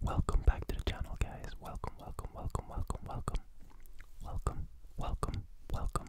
Welcome back to the channel, guys. Welcome, welcome, welcome, welcome, welcome. Welcome, welcome, welcome,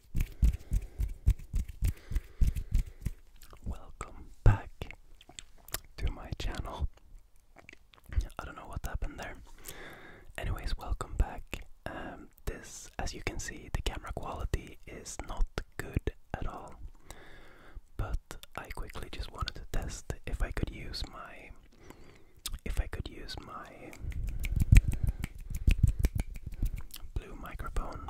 Welcome back to my channel. I don't know what happened there. Anyways, welcome back. Um, this, as you can see, the camera quality is not good at all. But I quickly just wanted to test if I could use my, if I could use my blue microphone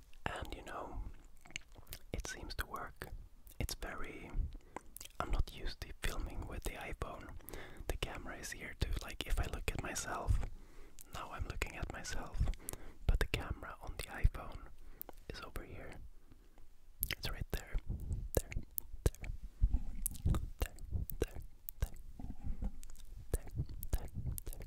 and you know, it seems to work. It's very. I'm not used to filming with the iPhone. The camera is here too. Like, if I look at myself, now I'm looking at myself, but the camera on the iPhone is over here. It's right there. There, there, there, there, there, there, there, there.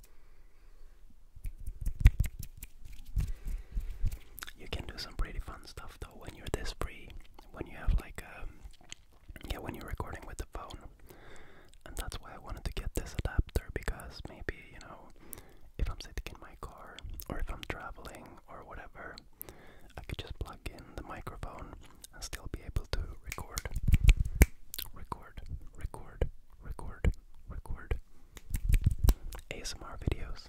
You can do some pretty fun stuff though when you're this free, when you have like um, yeah, when you're recording with the phone. And that's why I wanted to get this adapter because maybe, you know, if I'm sitting in my car or if I'm traveling or whatever, I could just plug in the microphone and still be able to record, record, record, record, record ASMR videos.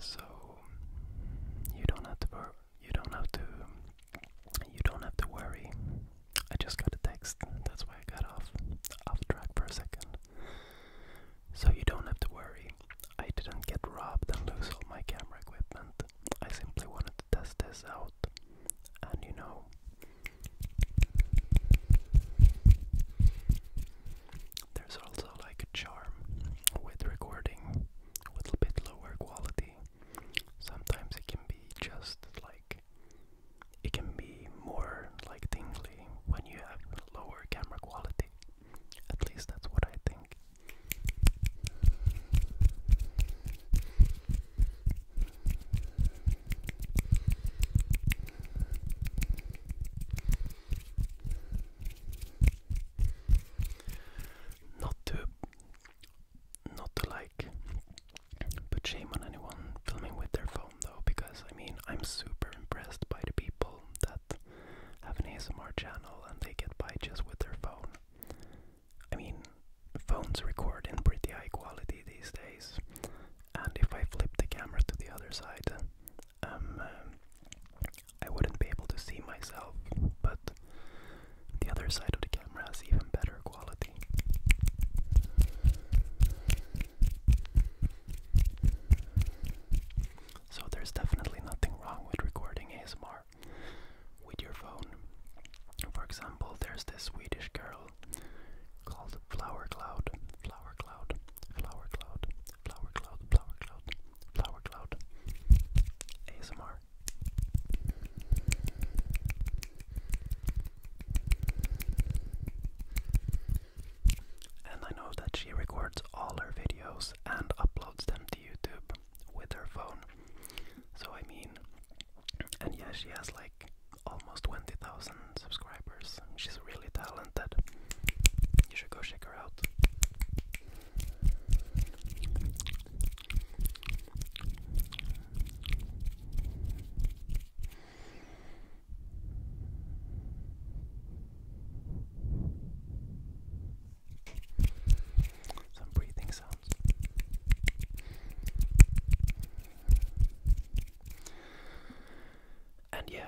So you don't have to you don't have to you don't have to worry. I just got a text. That's why I got off off track for a second. So you don't have to worry. I didn't get robbed and lose all my camera equipment. I simply wanted to test this out. And you know, there's also like a charm with recording a little bit lower quality. Sometimes it can be just like it can be more like tingly when you have lower camera quality. At least that's what I think. Not to not to like put shame on anyone filming with their phone though, because I mean, I'm super impressed by the people that have an ASMR channel and they get by just with their phone. I mean, phones record in pretty high quality these days, and if I flip the camera to the other side, um, um I wouldn't be able to see myself, but the other side of the camera has even better quality. So there's definitely nothing wrong with recording ASMR with your phone. For example, there's this Swedish girl called Flower Cloud, Flower Cloud, Flower Cloud, Flower Cloud, Flower Cloud, Flower Cloud, ASMR. And I know that she records all her videos and uploads them to YouTube with her phone. So, I mean, and yeah, she has like almost 20,000 subscribers. She's really talented. You should go check her out. Some breathing sounds. And yeah,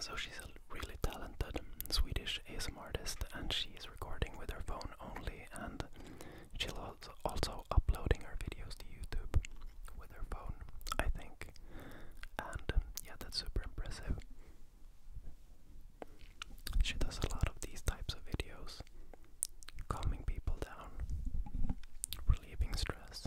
so she's a really talented Swedish ASM artist, and she's recording with her phone only, and she's also, also uploading her videos to YouTube with her phone, I think. And um, yeah, that's super impressive. She does a lot of these types of videos, calming people down, relieving stress.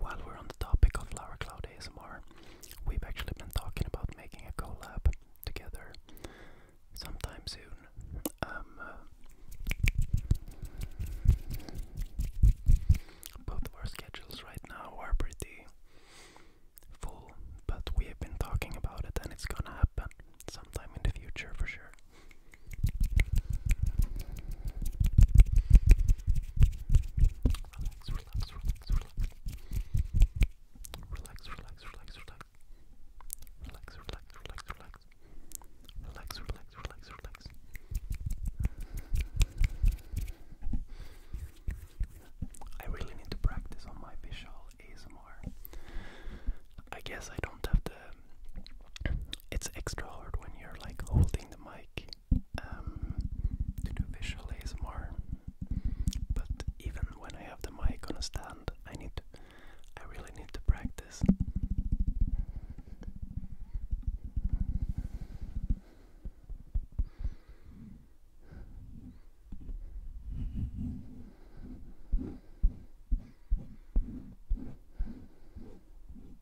while we're on the topic of Flower Cloud ASMR, we've actually been talking about making a collab together sometime soon. Um, uh, both of our schedules right now are pretty full, but we have been talking about it and it's gonna happen sometime in the future for sure. Relax, relax, relax, relax. Relax, relax, relax, relax. Relax, relax, relax, relax. Relax, relax, relax, relax. I really need to practice on my visual ASMR. I guess I don't have the it's extra hard when you're like holding the mic um, to do visual ASMR. But even when I have the mic on a stand, I need I really need to practice.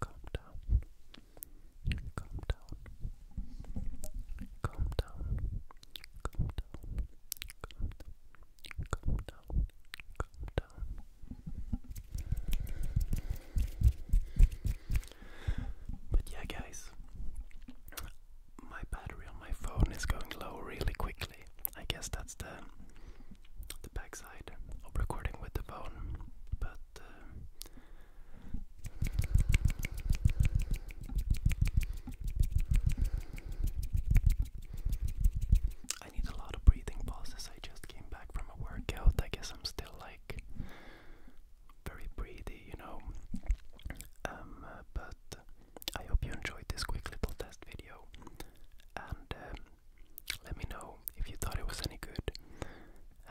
Calm down. Calm down. Calm down. Calm down. Calm down. Calm down. Calm down. But yeah, guys, my battery on my phone is going low really quickly. I guess that's the the backside of recording with the phone, but uh, I need a lot of breathing pauses. I just came back from a workout. I guess I'm still like very breathy, you know. Um, uh, but I hope you enjoyed this quick little test video. And um, let me know if you thought it was any good.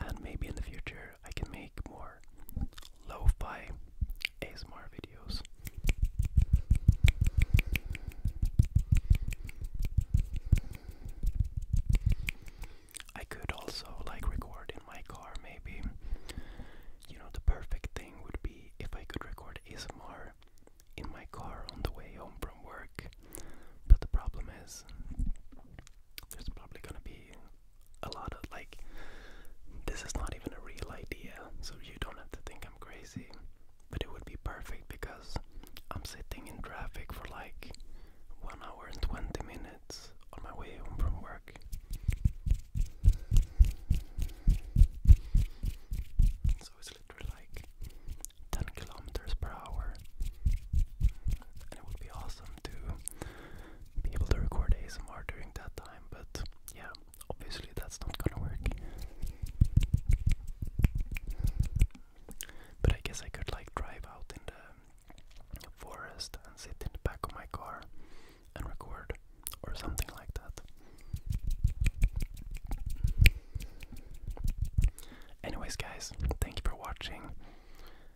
And maybe in the future I can make more lo ASMR videos. I could also like record in my car maybe. You know, the perfect thing would be if I could record ASMR in my car on the way home from work. But the problem is there's probably gonna be a lot of like, this is not even a real idea, so you don't have to think I'm crazy. But it would be perfect because I'm sitting in traffic for like one hour and 20 minutes on my way home from work. So it's literally like 10 kilometers per hour, and it would be awesome to be able to record ASMR during that time, but yeah, obviously that's not gonna work. But I guess I could like drive out in the forest and sit in the back of my car and record or something like that. Anyways, guys, thank you for watching.